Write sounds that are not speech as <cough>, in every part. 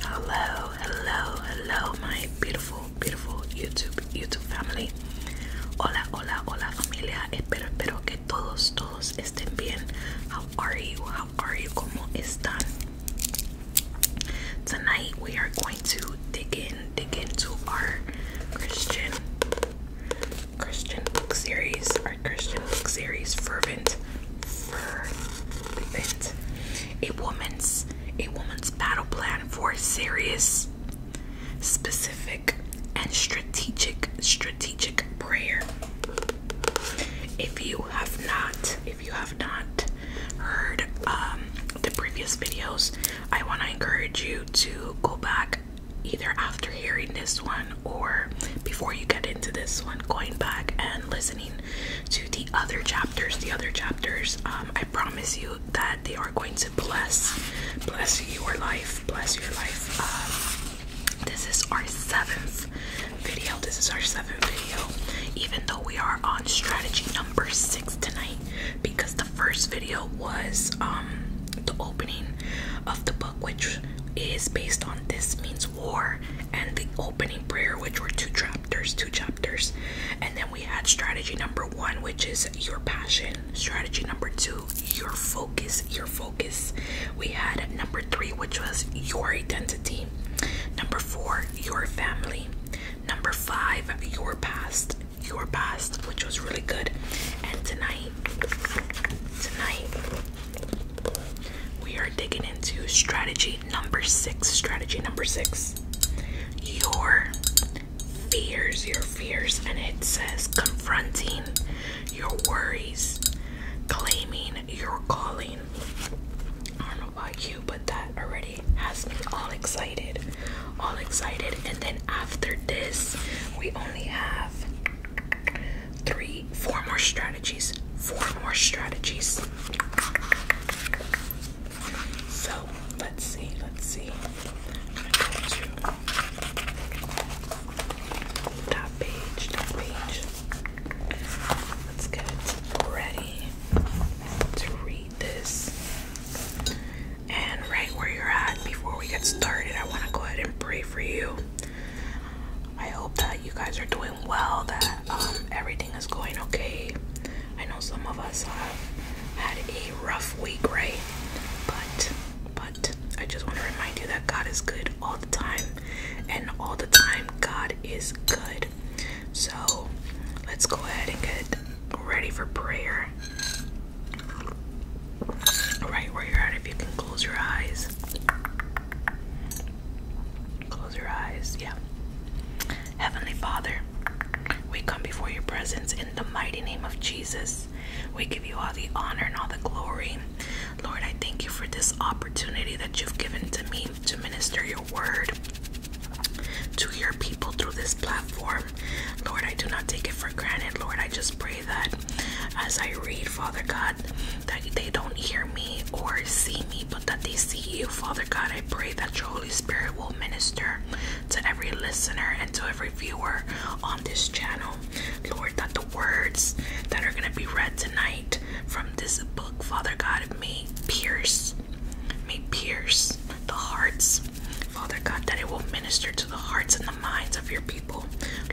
Hello, hello, hello, my beautiful, beautiful YouTube, YouTube family. Hola, hola, hola, familia. Espero, espero que todos, todos estén bien. How are you? How are you? Como están? Tonight we are going to dig in, dig into our Christian, Christian book series, our Christian book series, fervent, fervent a woman's a woman's battle plan for serious, specific, and strategic strategic prayer. If you have not, if you have not heard um, the previous videos, I want to encourage you to go back either after hearing this one or before you get into this one, going back and listening to the other chapters. The other chapters, um, I promise you that they are going to bless, bless your life, bless your life. Um, this is our seventh video. This is our seventh video, even though we are on strategy number six tonight, because the first video was um, the opening of the book, which is based on this means war and the opening prayer, which were two chapters, two chapters. And then we had strategy number one, which is your passion. Strategy number two, your focus, your focus. We had number three, which was your identity. Number four, your family. Number five, your past, your past, which was really good. And tonight, tonight, we are digging into strategy number six. Strategy number six. Your fears, your fears, and it says confronting your worries, claiming your calling. I don't know about you, but that already has me all excited. All excited. And then after this, we only have three, four more strategies. Four more strategies. So let's see, let's see. top page, top page. Let's get ready to read this. And right where you're at, before we get started, I want to go ahead and pray for you. I hope that you guys are doing well, that um, everything is going okay. I know some of us have had a rough week, right? But, but I just want to remind you that God is good all the time, and all the time, God is good. So, let's go ahead and get ready for prayer. Right where you're at, if you can close your eyes. Close your eyes. Yeah. Heavenly Father, we come before your presence in the mighty name of Jesus. We give you all the honor and all the glory. Lord, I thank you for this opportunity that you've given to me to minister your word to your people through this platform. Lord, I do not take it for granted. Lord, I just pray that as I read, Father God, that they don't hear me or see me, but that they see you. Father God, I pray that your Holy Spirit will minister to every listener and to every viewer on this channel. Lord, that the words that are going to be read tonight from this book, Father God, may pierce, may pierce the hearts. Father God, that it will minister to the hearts and the minds of your people.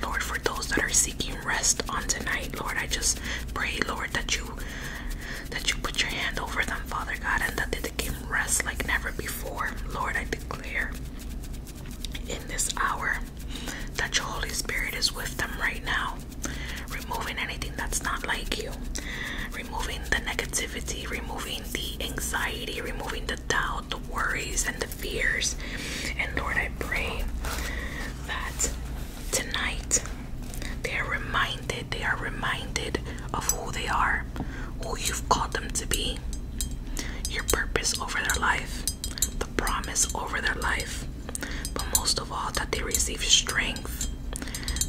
Lord, for those that are seeking rest on tonight, Lord. I just pray, Lord, that you that you put your hand over them, Father God, and that they can rest like never before. Lord, I declare in this hour that your Holy Spirit is with them right now, removing anything that's not like you, removing the negativity, removing the anxiety, removing the doubt, the worries, and the fears. And Lord, I pray that tonight they are reminded they are reminded of who they are who you've called them to be your purpose over their life the promise over their life but most of all that they receive strength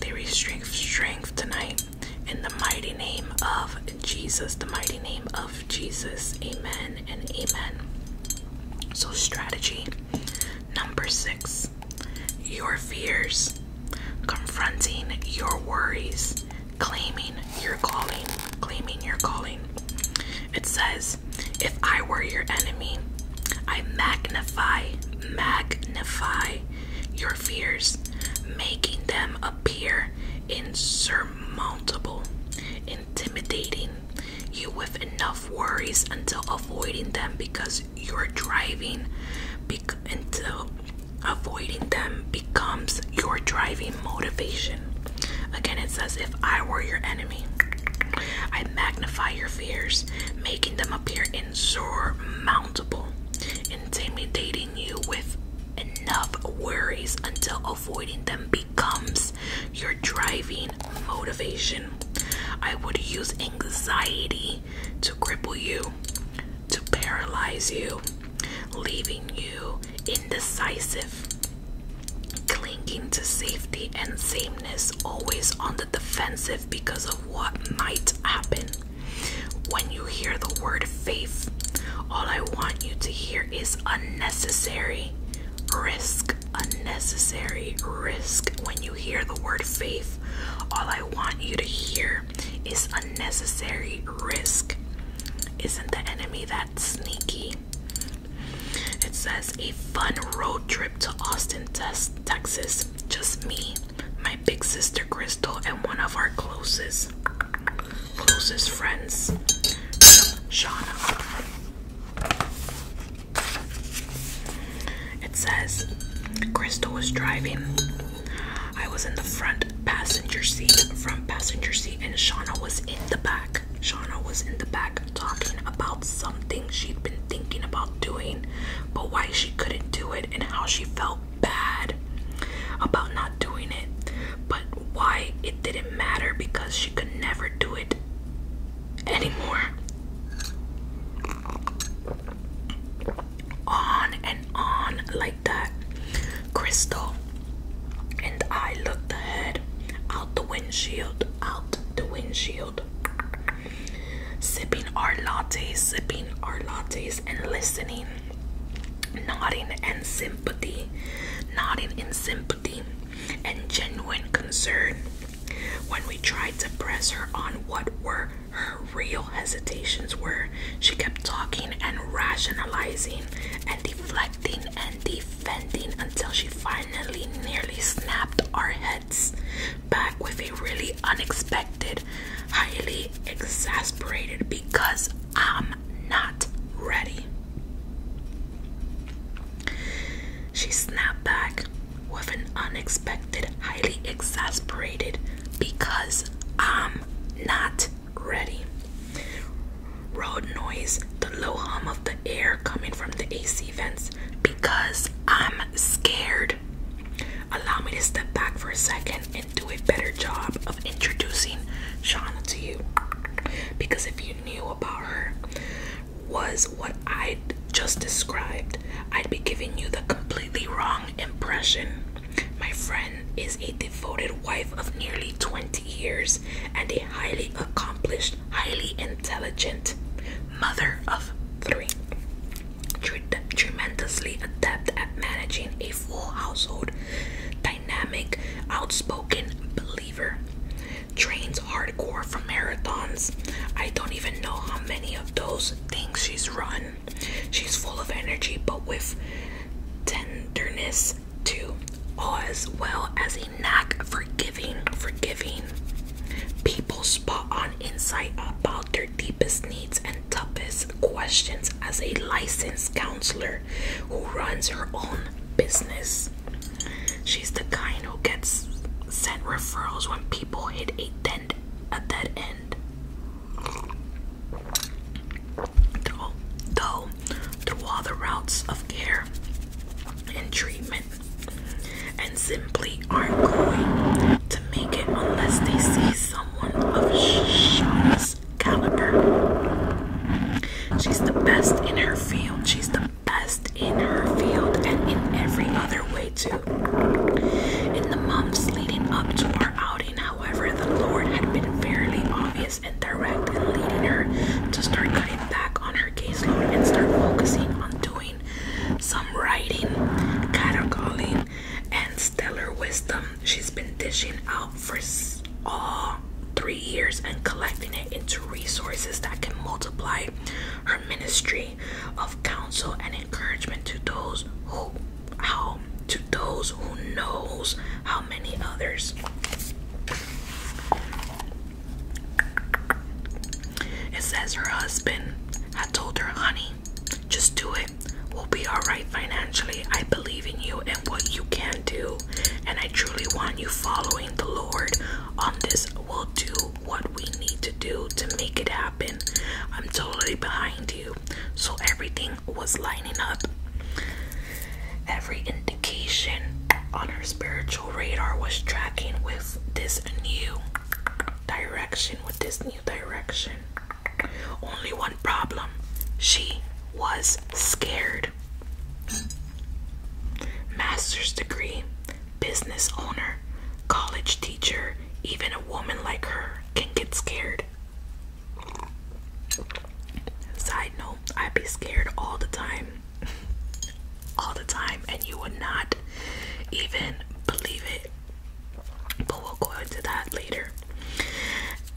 they receive strength tonight in the mighty name of jesus the mighty name of jesus amen and amen so strategy Number six, your fears, confronting your worries, claiming your calling, claiming your calling. It says, if I were your enemy, I magnify, magnify your fears, making them appear insurmountable, intimidating, you with enough worries until avoiding them because you're driving bec until avoiding them becomes your driving motivation. Again, it says, If I were your enemy, I magnify your fears, making them appear insurmountable, intimidating you with enough worries until avoiding them becomes your driving motivation. I would use anxiety to cripple you, to paralyze you, leaving you indecisive, clinging to safety and sameness, always on the defensive because of what might happen. When you hear the word faith, all I want you to hear is unnecessary risk unnecessary risk. When you hear the word faith, all I want you to hear is unnecessary risk. Isn't the enemy that sneaky? It says a fun road trip to Austin, Texas. Just me, my big sister Crystal, and one of our closest closest friends, Shauna. It says, Crystal was driving. I was in the front passenger seat, front passenger seat, and Shauna was in the back. Shauna was in the back talking about something she'd been thinking about doing, but why she couldn't do it and how she felt bad about not doing it, but why it didn't matter because she could never do it anymore. On and on like that. Crystal and I looked ahead, out the windshield, out the windshield. Sipping our lattes, sipping our lattes, and listening, nodding in sympathy, nodding in sympathy and genuine concern when we tried to press her on what were her real hesitations were she kept talking and rationalizing and deflecting and defending until she finally nearly snapped our heads back with a really unexpected highly exasperated because i'm not ready she snapped back with an unexpected, highly exasperated, because I'm not ready. Road noise, the low hum of the air coming from the AC vents, because I'm scared. Allow me to step back for a second and do a better job of introducing Shauna to you. Because if you knew about her, was what I just described, I'd be giving you the completely wrong impression. My friend is a devoted wife of nearly 20 years and a highly accomplished, highly intelligent mother of three. Tremendously adept at managing a full household, dynamic, outspoken believer trains hardcore for marathons. I don't even know how many of those things she's run. She's full of energy, but with tenderness too, as well as a knack for giving, forgiving. People spot on insight about their deepest needs and toughest questions as a licensed counselor who runs her own business. She's the kind who gets sent referrals when people hit a dead a dead end. Though, though through all the routes of care and treatment, and simply aren't going to make it unless they see someone of Shauna's caliber. She's the best in her field. She's the best in her field and in every other way, too. In the months leading up to our outing, however, the Lord had been fairly obvious and direct in leading her to start cutting back on her case load and start focusing on doing some writing, catacalling, and stellar wisdom she's been dishing out for all three years and collecting it into resources that can multiply her ministry of counsel and encouragement to those who how to those who knows how many others it says her husband had told her honey just do it we'll be all right financially i believe in you and what you can do and i truly want you following the lord on this. We'll do what we need to do to make it happen. I'm totally behind you. So everything was lining up. Every indication on her spiritual radar was tracking with this new direction, with this new direction. Only one problem she was scared. Master's degree, business owner, college teacher, even a woman like her can get scared. Side note, I'd be scared all the time. <laughs> all the time, and you would not even believe it. But we'll go into that later.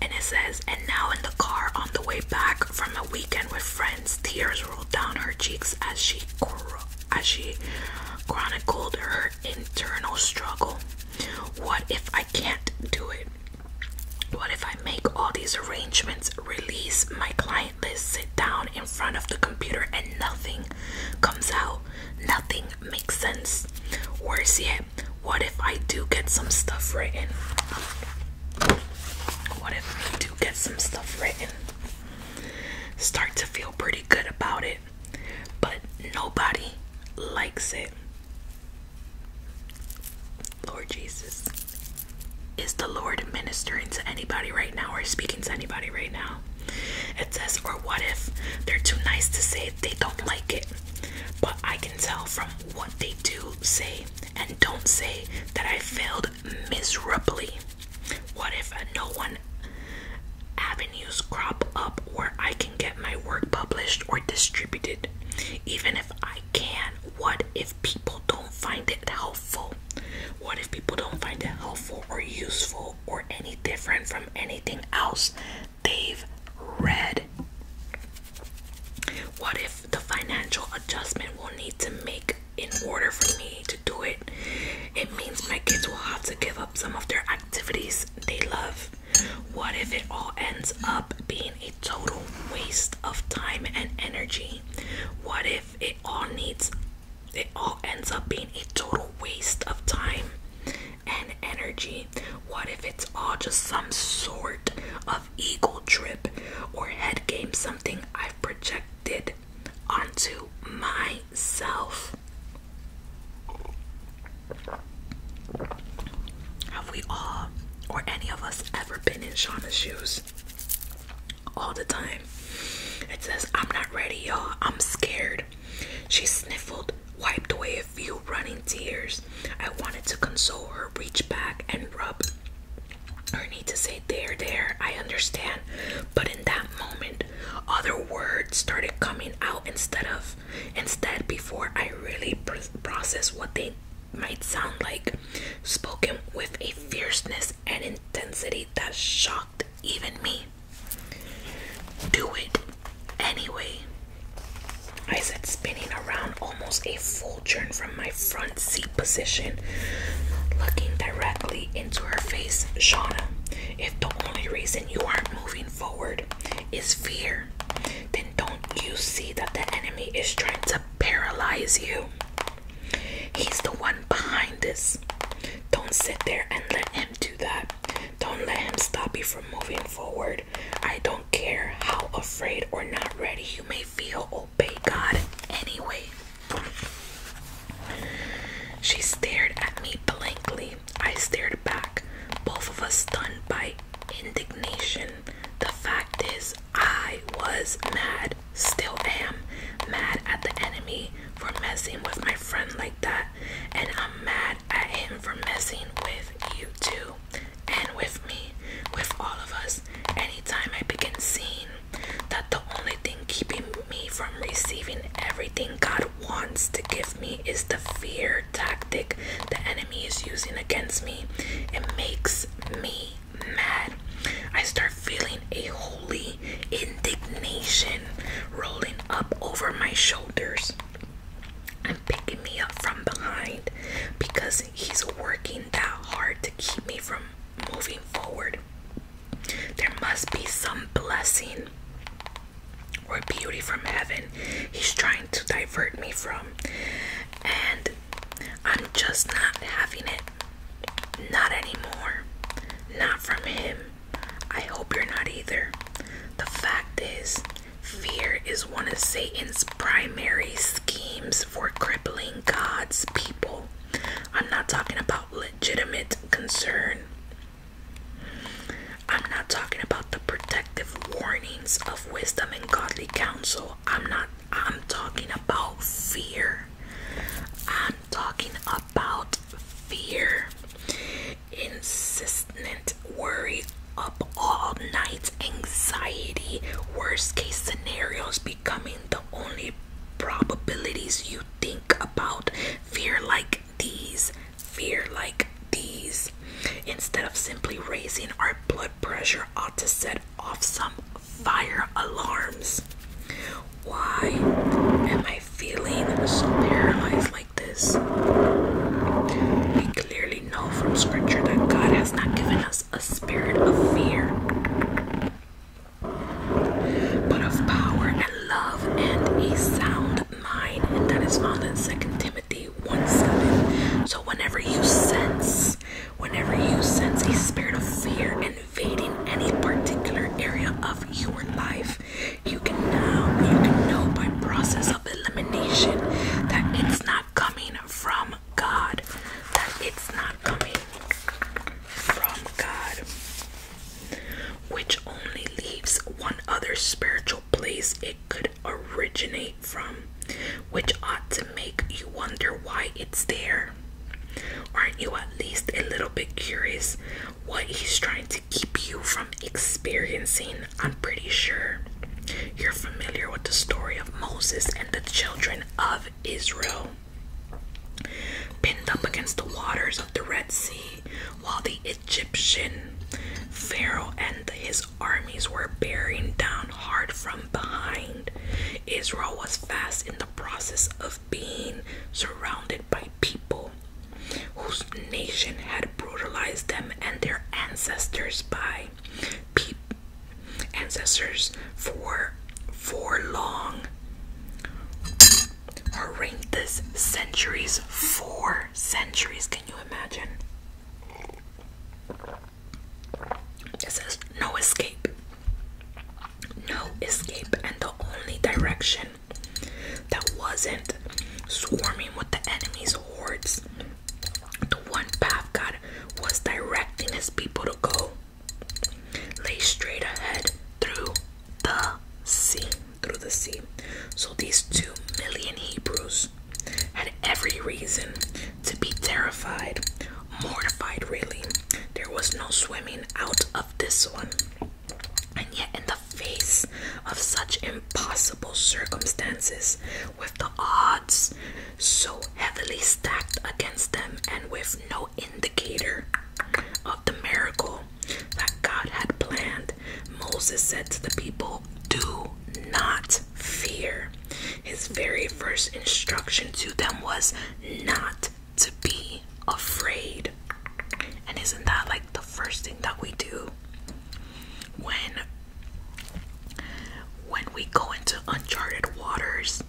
And it says, and now in the car on the way back from a weekend with friends, tears rolled down her cheeks as she as she chronicled her internal struggle. What if I can't do it? What if I make all these arrangements, release my client list, sit down in front of the computer, and nothing comes out? Nothing makes sense. Worse yet, what if I do get some stuff written? What if we do get some stuff written? Start to feel pretty good about it, but nobody likes it. Lord Jesus. Is the Lord ministering to anybody right now or speaking to anybody right now? It says, or what if they're too nice to say they don't like it? But I can tell from what they do say and don't say that I failed miserably. What if no one avenues crop up where I can get my work published or distributed? Even if I can, what if people don't find it helpful? What if people don't find it helpful or useful or any different from anything else they've read? What if the financial adjustment we'll need to make in order for me to do it, it means my kids will have to give up some of their activities they love. What if it all ends up being a total waste of time and energy? What if it all needs it all ends up being a total waste of time and energy? What if it's all just some sort of eagle trip or head game, something I've projected onto myself. Have we all, or any of us, ever been in Shauna's shoes? All the time. It says, I'm not ready, y'all. I'm scared. She sniffled, wiped away a few running tears. I wanted to console her, reach back, and rub I need to say there, there, I understand. But in that moment, other words started coming out instead of, instead, before I really process what they might sound like, spoken with a fierceness and intensity that shocked even me. Do it anyway. I said, spinning around almost a full children from my front seat position, looking directly into her face. Shauna, if the only reason you aren't moving forward is fear, then don't you see that the enemy is trying to paralyze you? He's the one behind this. Don't sit there and let him do that. Don't let him stop you from moving forward. I don't care how afraid or not ready you may feel obey God anyway. She stared at me blankly. I stared back, both of us stunned by indignation. The fact is, I was mad, still am, mad at the enemy for messing with my friend like that, and I'm mad at him for messing with you too, and with me, with all of us anytime I begin seeing that the only thing keeping me from receiving everything God wants to give me is the fear tactic the enemy is using against me, it makes me mad. I start feeling a holy indignation rolling up over my shoulders and picking me up from behind because he's working that hard to keep me from moving forward. There must be some blessing or beauty from heaven he's trying to divert me from. And I'm just not having it. Not anymore. Not from him. I hope you're not either. The fact is, fear is one of Satan's primary schemes for crippling God's people. I'm not talking about legitimate concern. I'm not talking about the protective warnings of wisdom and godly counsel. I'm not I'm talking about fear. I'm talking about fear. Insistent worry up all night, anxiety, worst case scenarios becoming the only probabilities you think about. Fear like these, fear like these. Instead of simply raising our blood pressure, ought to set off some fire alarms. Why am I feeling so paralyzed like this? We clearly know from scripture that God has not given us a spirit of fear, but of power and love and a sound mind. And that is found in 2 Timothy 1 7. So, whenever you sense, whenever you sense a spirit of fear invading any particular area of your life, you can now, you can know by process of elimination that it's not coming from God, that it's not coming from God, which only leaves one other spiritual place it could originate from, which ought to make you wonder why it's there. Aren't you at least a little bit curious what he's trying to keep you from experiencing? I'm pretty sure you're familiar with the story of Moses and the children of Israel, pinned up against the waters of the Red Sea, while the Egyptian Pharaoh and his armies were bearing down hard from behind. Israel was fast in the process of being surrounded by people whose nation had brutalized them and their ancestors by ancestors for for long horrendous centuries four centuries can you imagine it says no escape no escape and the only direction that wasn't swarming with the enemy's hordes the one path God was directing his people to go lay straight ahead through the sea. Through the sea. So these two million Hebrews had every reason to be terrified, mortified, really. There was no swimming out of this one. And yet, in the face of such impossible circumstances, with the odds so heavily stacked against them and with no indicator of the miracle that God had planned, Moses said to the people, Do not fear. His very first instruction to them was not to be afraid. And isn't that like the first thing that we do when when we go into uncharted waters,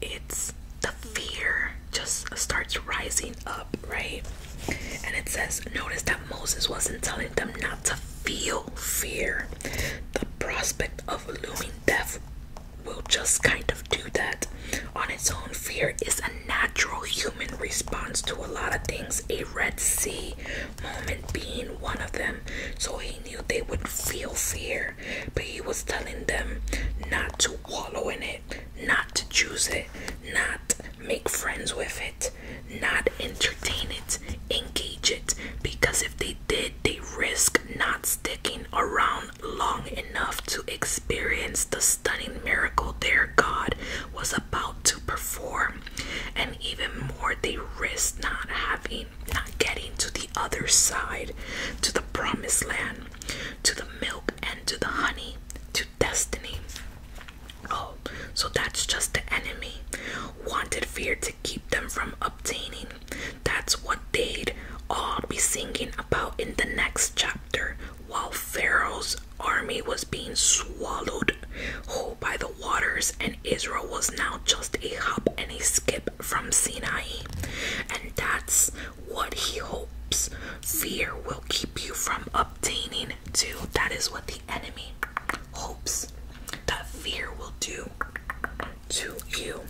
it's the fear just starts rising up, right? And it says, Notice that Moses wasn't telling them not to feel fear. The prospect of looming death will just kind of do that on its own. Fear is a natural human response to a lot of things, a Red Sea moment being one of them. So he knew they would feel fear, but he was telling them not to wallow in it, not to choose it, not make friends with it, not entertain it, engage it, because if they did, they risk not sticking around long enough to experience the stunning miracle their God was about to perform. And even more, they risk not having not getting to the other side, to the promised land, to the milk and to the honey, to destiny. Oh, so that's just the enemy. Wanted fear to keep them from obtaining. That's what they'd all be singing about in the next chapter while Pharaoh's army was being swallowed whole by the waters and Israel was now just a hop and a skip from Sinai, and that's what he hopes fear will keep you from obtaining too. That is what the enemy hopes that fear will do to you.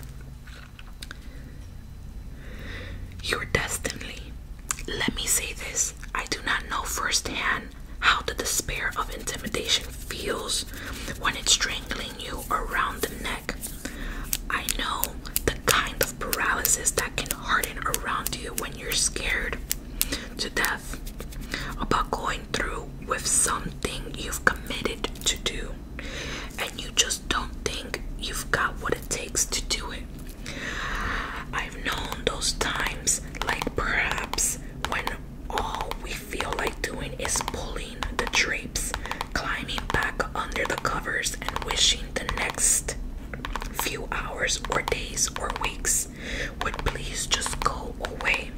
Your destiny. Let me say this I do not know firsthand how the despair of intimidation feels when it's strangling you around the neck. I know the kind of paralysis that can harden around you when you're scared to death about going through with something you've committed to do and you just don't think you've got what it takes to do it. I've known those times, like perhaps when all we feel like doing is pulling the drapes, climbing back under the covers, and wishing the next few hours or days or weeks would please just go away.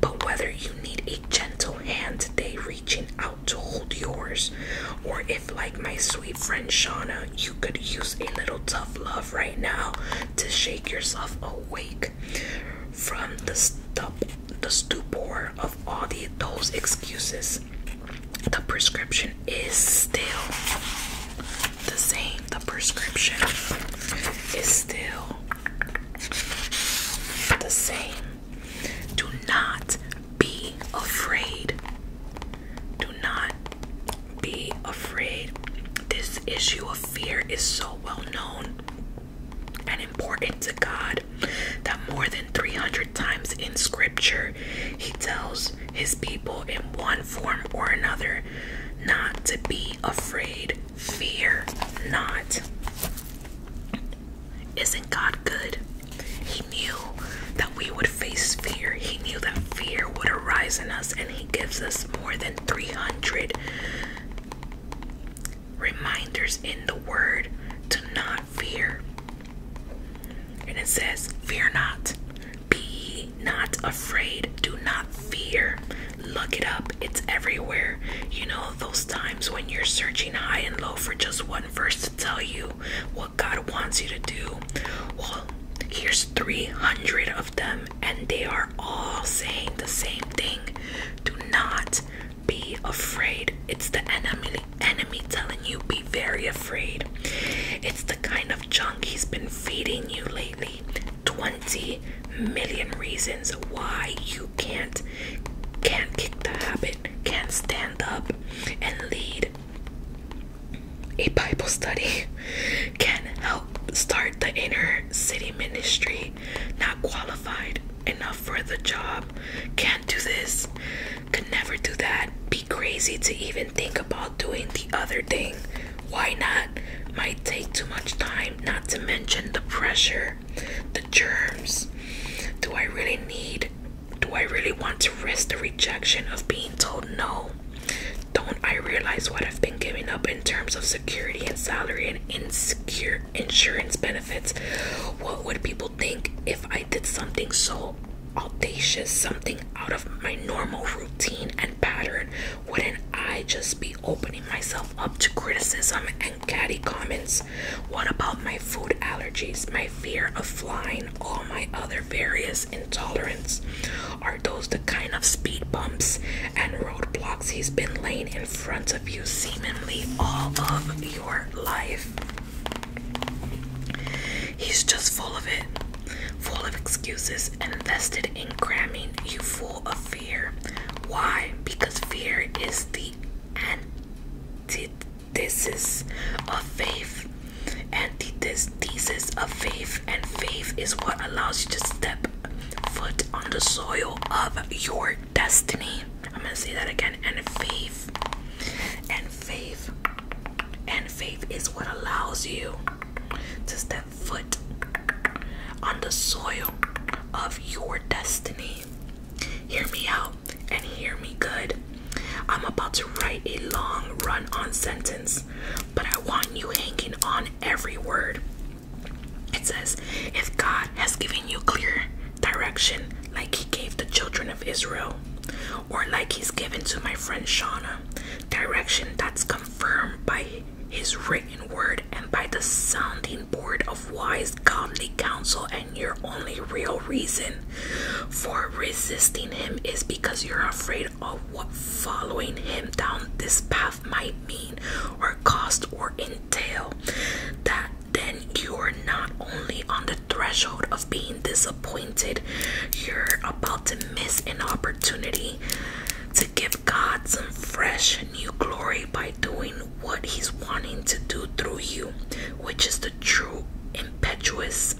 But whether you need a gentle hand today reaching out to hold yours, or if, like my sweet friend Shauna, you could use a little tough love right now to shake yourself awake from the stup the stupor of all the those excuses. The prescription is still the same. The prescription is still the same. Do not be afraid. Do not be afraid. This issue of fear is so well known and important to God that more than 300 times in scripture he tells his people in one form or another not to be afraid. Fear not. Isn't God good? He knew that we would face fear. He knew that fear would arise in us, and He gives us more than 300 reminders in the word do not fear. And it says, Fear not, be not afraid, do not fear. Look it up, it's everywhere. You know, those times when you're searching high and low for just one verse to tell you what God wants you to do. Well, here's 300 of them, and they are all saying the same thing do not be afraid. It's the enemy enemy telling you be very afraid. It's the kind of junk he's been feeding you lately. 20 million reasons why you can't can't kick the habit, can't stand up and lead a Bible study, can help start the inner city ministry, not qualified enough for the job, can't do this, could never do that, be crazy to even think about doing the other thing. Why not? Might take too much time, not to mention the pressure, the germs. Do I really need? Do I really want to risk the rejection of being told no? Don't I realize what I've been? giving up in terms of security and salary and insecure insurance benefits. What would people think if I did something so audacious, something out of my normal routine and pattern? Wouldn't I just be opening myself up to criticism and catty comments? What about my food allergies, my fear of flying, all my other various intolerances? Are those the kind of speed bumps and roadblocks he's been laying in front of? parts you seemingly all of your life. He's just full of it, full of excuses, and invested in cramming you full of fear. Why? Because fear is the antithesis of faith. Antithesis of faith, and faith is what allows you to step foot on the soil of your destiny. I'm gonna say that again. And faith, and faith, and faith is what allows you to step foot on the soil of your destiny. Hear me out and hear me good. I'm about to write a long run on sentence, but I want you hanging on every word. It says, If God has given you clear direction, like He gave the children of Israel, or like He's given to my friend Shauna, direction that's confirmed by His written word and by the sounding board of wise, godly counsel, and your only real reason for resisting Him is because you're afraid of what following Him down this path might mean, or cost, or in tell that then you're not only on the threshold of being disappointed, you're about to miss an opportunity to give God some fresh new glory by doing what He's wanting to do through you, which is the true impetuous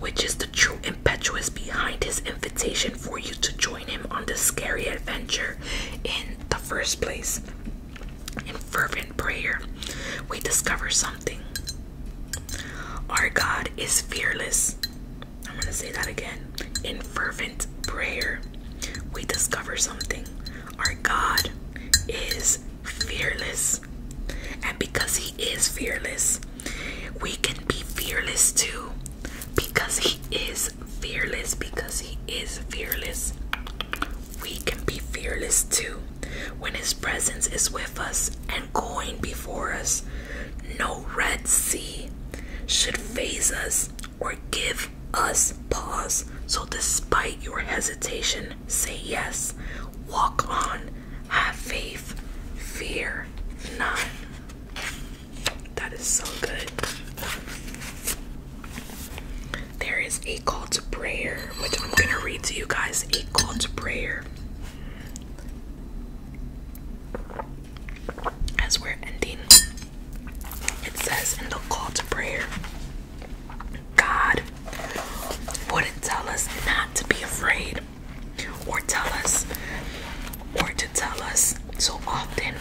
which is the true impetuous behind his invitation for you to join him on this scary adventure in the first place. In fervent prayer, we discover something. Our God is fearless. I'm going to say that again. In fervent prayer, we discover something. Our God is fearless. And because He is fearless, we can be fearless too. Because He is fearless because he is fearless. We can be fearless too when his presence is with us and going before us. No Red Sea should phase us or give us pause. So, despite your hesitation, say yes, walk on, have faith, fear not. That is so good. There is a call to prayer, which I'm going to read to you guys. A call to prayer. As we're ending, it says in the call to prayer God wouldn't tell us not to be afraid or tell us or to tell us so often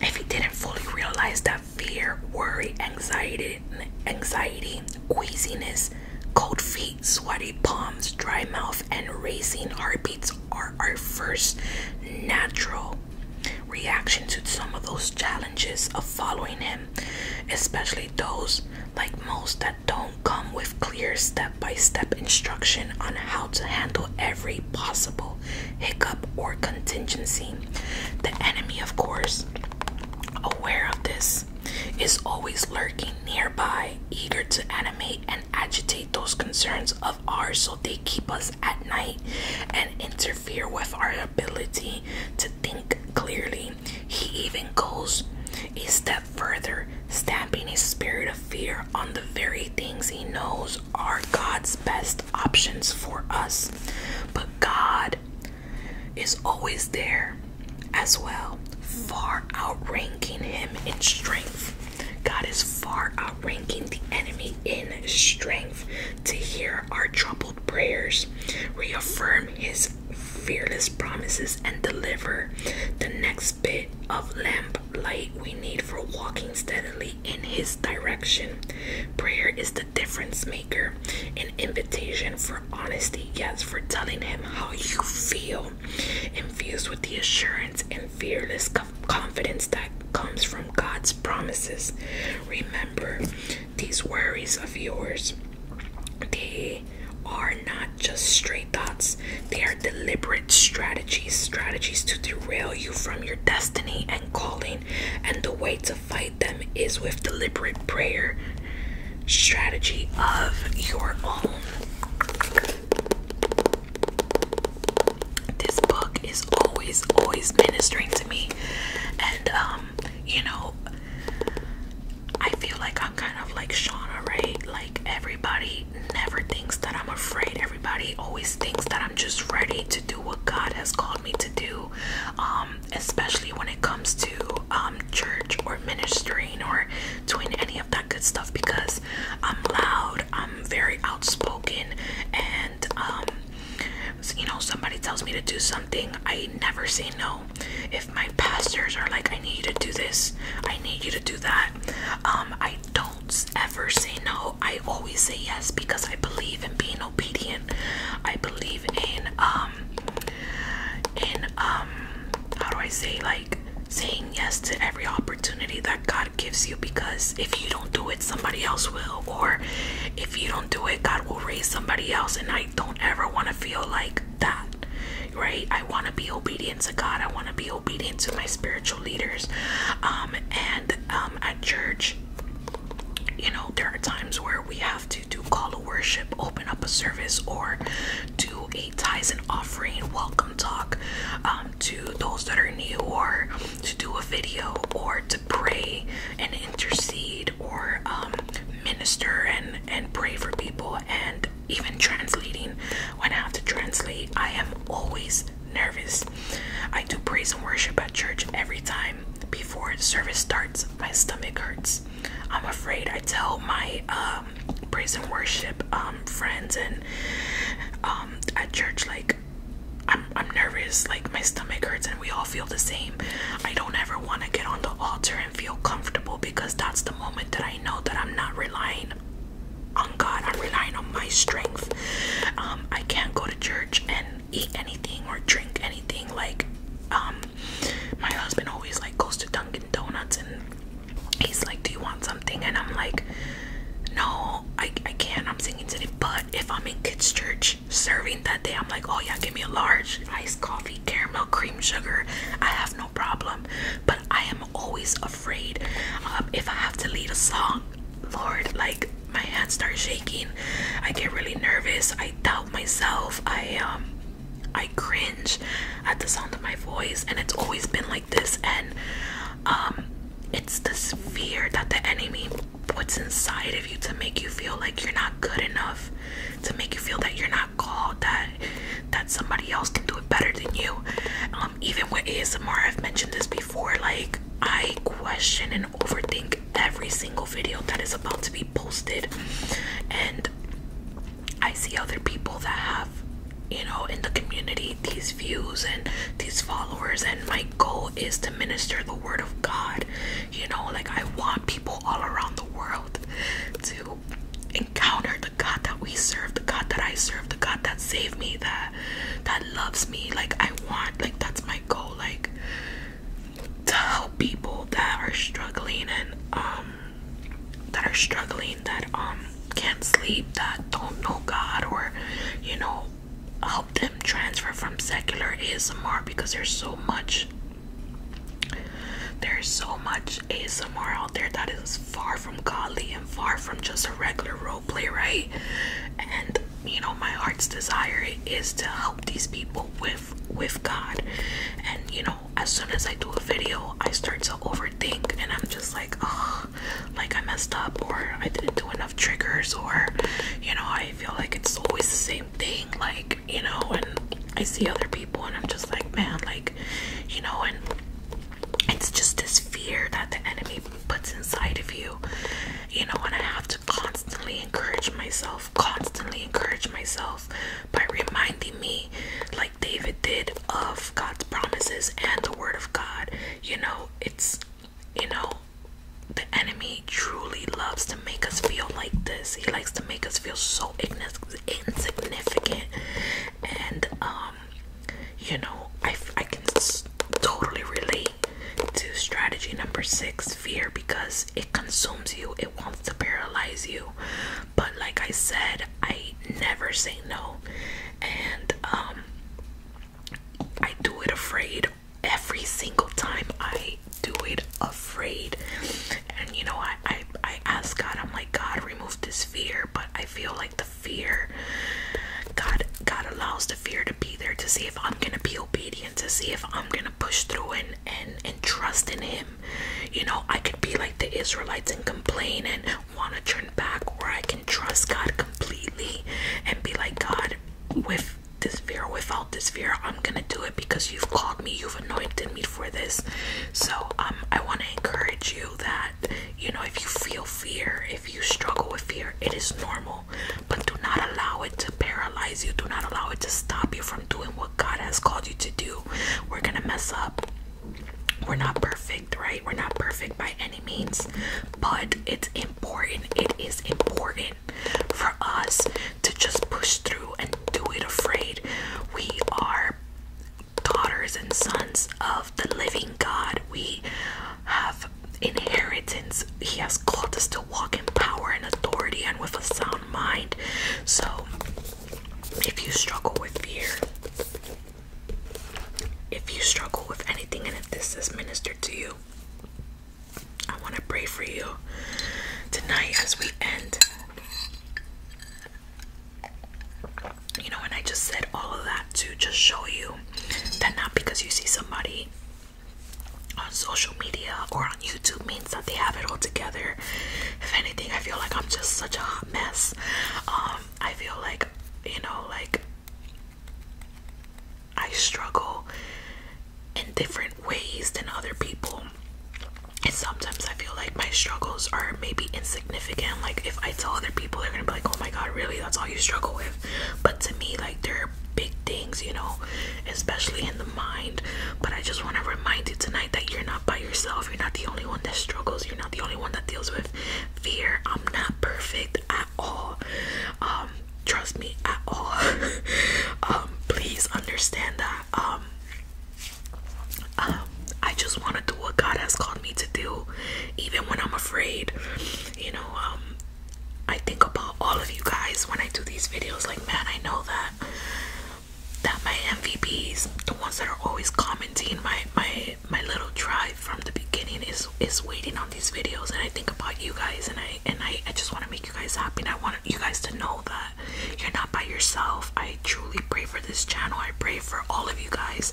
if he didn't fully realize that fear, worry, anxiety, anxiety, queasiness, cold feet, sweaty palms, dry mouth, and racing heartbeats are our first natural reaction to some of those challenges of following him, especially those like most that don't come with clear step by step instruction on how to handle every possible hiccup or contingency. The enemy, of course, aware of this, is always lurking nearby, eager to animate and agitate those concerns of ours so they keep us at night and interfere with our ability to think clearly. He even goes a step further, stamping a spirit of fear on the very things he knows are God's best options for us. But God is always there as well, far outranking him in strength. God is far outranking the enemy in strength to hear our troubled prayers, reaffirm his fearless promises, and deliver the next bit of lamb light we need for walking steadily in His direction. Prayer is the difference maker, an invitation for honesty, yes, for telling Him how you feel, infused with the assurance and fearless confidence that comes from God's promises. Remember, these worries of yours, they are not just stray thoughts, they are deliberate strategies, strategies to derail you from your destiny and calling, and the way to fight them is with deliberate prayer, strategy of your own. This book is always, always ministering to me, and um, you know, I feel like I'm kind of like Shauna, right? Like everybody Everybody never thinks that I'm afraid. Everybody always thinks that I'm just ready to do what God has called me to do, um, especially when it comes to um, church or ministering or doing any of that good stuff because I'm loud, I'm very outspoken, and um, you know, somebody tells me to do something, I never say no. If my pastors are like, I need you to do this, I need you to do that, I don't ever say no. I always say yes because I believe in being obedient. I believe in um in um how do I say like saying yes to every opportunity that God gives you because if you don't do it somebody else will or if you don't do it God will raise somebody else and I don't ever want to feel like that right I want to be obedient to God I want to be obedient to my spiritual leaders um, and um, at church you know there are times where we have to do call to worship open up a service or do a tithes offering welcome talk um, to those that are new or to do a video or to pray and intercede or minister and and pray for people and even translating when i have to translate i am always nervous. I do praise and worship at church every time before service starts. My stomach hurts. I'm afraid. I tell my um, praise and worship um, friends and um, at church like I'm nervous. Like my stomach hurts, and we all feel the same. I don't ever want to get on the altar and feel comfortable because that's the moment that I know that I'm not relying on God. I'm relying on my strength. Um, I can't go to church and eat anything or drink anything. Like, um, my husband always like goes to Dunkin' Donuts and he's like, "Do you want something?" And I'm like, "No, I I can't. I'm singing today." But if I'm in kids' church serving that day, I'm like, "Oh yeah, give me a large iced coffee, caramel, cream, sugar. I have no problem." But I am always afraid um, if I have to lead a song. Lord, like my hands start shaking. I get really nervous. I doubt myself. I um I cringe at the sound of my voice and it's always been like this and um it's this fear that the enemy puts inside of you to make you feel like you're not good enough, to make you feel that you're not called, that that somebody else can do it better than you. Um even with ASMR I've mentioned this before before, like, I question and overthink every single video that is about to be posted, and I see other people that have, you know, in the community these views and these followers, and my goal is to minister the word of God. You know, like, I want people all around the world to encounter the God that we serve, the God that I serve, the God that saved me, that that loves me like i want like that's my goal like to help people that are struggling and um that are struggling that um can't sleep that don't know god or you know help them transfer from secular asmr because there's so much there's so much asmr out there that is far from godly and far from just a regular role play, right? And you know, my heart's desire is to help these people with with God. And you know, as soon as I do a video, I start to overthink and I'm just like, oh, like I messed up or I didn't do enough triggers or you know, I feel like it's always the same thing, like, you know, and I see other people and I'm just like, man, like, you know, and it's just this fear that the enemy puts inside of you you know and i have to constantly encourage myself constantly encourage myself by reminding me like david did of god's promises and the word of god you know it's you know the enemy truly loves to make us feel like this he likes to make us feel so insignificant and um you know, I, I can totally relate to strategy number six fear because it consumes you, it wants to paralyze you. But, like I said, I never say no, and um, I do it afraid every single time. I do it afraid, and you know, I, I, I ask God, I'm like, God, remove this fear, but I feel like the fear. God, God allows the fear to be there to see if I'm gonna be obedient, to see if I'm gonna push through and and and trust in Him. You know, I could be like the Israelites and complain and want to turn back, or I can trust God completely and be like, God, with this fear, without this fear, I'm gonna do it because You've called me, You've anointed me for this. So, um, I want to encourage you that you know, if you feel fear, if you struggle with fear, it is normal. But do not allow it to paralyze you. Do not allow it to stop you from doing what God has called you to do. We're going to mess up. We're not perfect, right? We're not perfect by any means, but it's important. It is important for us to just push through and do it afraid. We are daughters and sons of the living God. We have inheritance. He has called us to walk in power and authority and with a sound mind. So, if you struggle with fear, if you struggle with anything, and if this is ministered to you, I want to pray for you tonight as we end. You know, and I just said all of that to just show you that not because you see somebody on social media or on YouTube means that they have it all together. If anything, I feel like I'm just such a hot mess. Um, I feel like, you know, like I struggle in different ways than other people. And sometimes I feel like my struggles are maybe insignificant significant. Like if I tell other people, they're gonna be like, "Oh my god, really? That's all you struggle with?" But to me, like there are big things, you know, especially in the mind. But I just want to remind you tonight that you're not by yourself. You're not the only one that struggles. You're not the only one that deals with fear. I'm not perfect at all. Um, trust me at all. <laughs> um, please understand that. um, um I just want to do what God has called me to do, even when I'm afraid. You know, um, I think about all of you guys when I do these videos. Like, man, I know that that my MVPs, the ones that are always commenting, my my my little tribe from the beginning is is waiting on these videos. And I think about you guys, and I and I, I just want to make you guys happy. And I want you guys to know that you're not by yourself. I truly pray for this channel. I pray for all of you guys.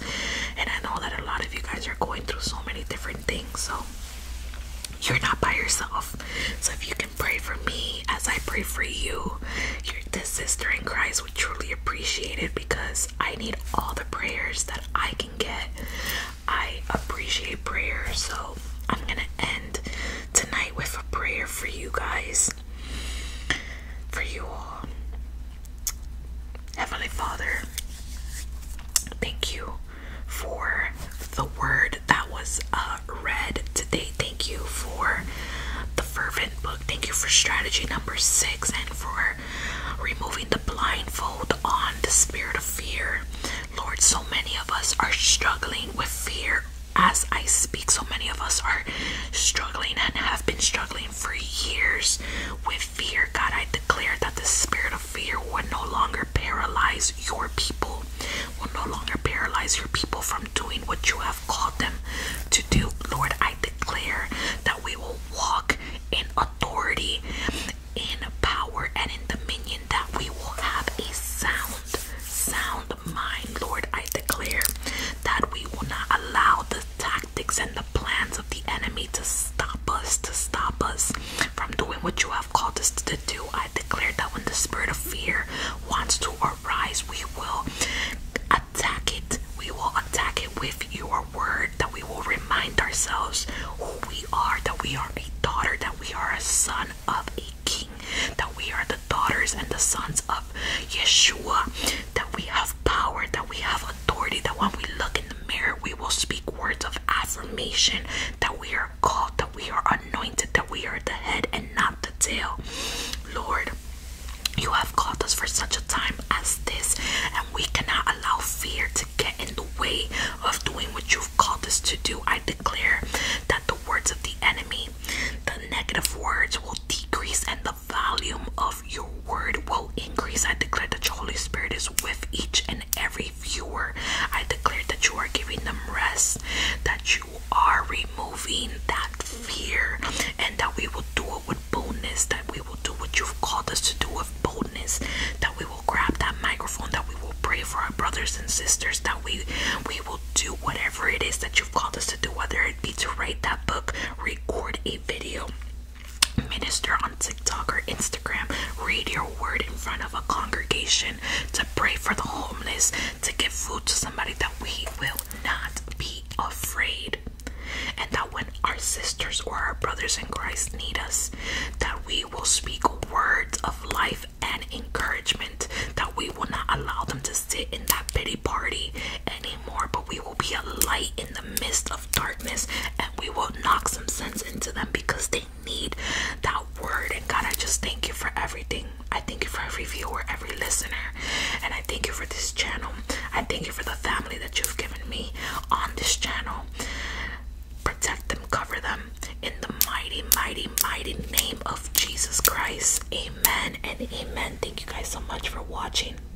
And I know that a lot of you guys are going through so many different things. So you're not by yourself. So if you can pray for me as I pray for you, your this sister in Christ would truly appreciate it because I need all the prayers that I can get. I appreciate prayer. So I'm gonna end tonight with a prayer for you guys. For you all. Heavenly Father, thank you for the word that was uh, read today. Thank you for the fervent book. Thank you for strategy number six and for removing the blindfold on the spirit of fear. Lord, so many of us are struggling with fear. As I speak, so many of us are struggling and have been struggling for years with fear, God, I declare that the spirit of fear will no longer paralyze your people, will no longer paralyze your people from doing what you have called them to do. Lord, I declare that we will walk in authority, in power, and in dominion, that we will have a sound, sound mind. Lord, I declare that we will not allow the and the plans of the enemy to stop us, to stop us from doing what you have called us to do. I declare that when the spirit of fear wants to arise, we will attack it. We will attack it with your word, that we will remind ourselves who we are, that we are a daughter, that we are a son of a king, that we are the daughters and the sons of Yeshua, that we have power, that we have authority, that when we look in the mirror, we will speak words of affirmation, that we are called, that we are anointed, that we are the head and not the tail. Lord, you have called us for such a time as this, and we cannot allow fear to get in the way of doing what you've called us to do. I declare that the words of the enemy, the negative words, will decrease and the the volume of your word will increase. I declare that your Holy Spirit is with each and every viewer. I declare that you are giving them rest, that you are removing that fear, and that we will do it with boldness, that we will do what you've called us to do with boldness, that we will grab that microphone, that we will pray for our brothers and sisters, that we we will do whatever it is that you've called us to do, whether it be to write that book, record a video, minister on TikTok or Instagram, read your word in front of a congregation, to pray for the homeless, to give food to somebody, that we will not be afraid. And that when our sisters or our brothers in Christ need us, that we will speak words of life and encouragement, that we will not allow them to sit in that pity party anymore, but we will will be a light in the midst of darkness and we will knock some sense into them because they need that word. And God, I just thank you for everything. I thank you for every viewer, every listener, and I thank you for this channel. I thank you for the family that you've given me on this channel. Protect them, cover them in the mighty, mighty, mighty name of Jesus Christ. Amen and amen. Thank you guys so much for watching.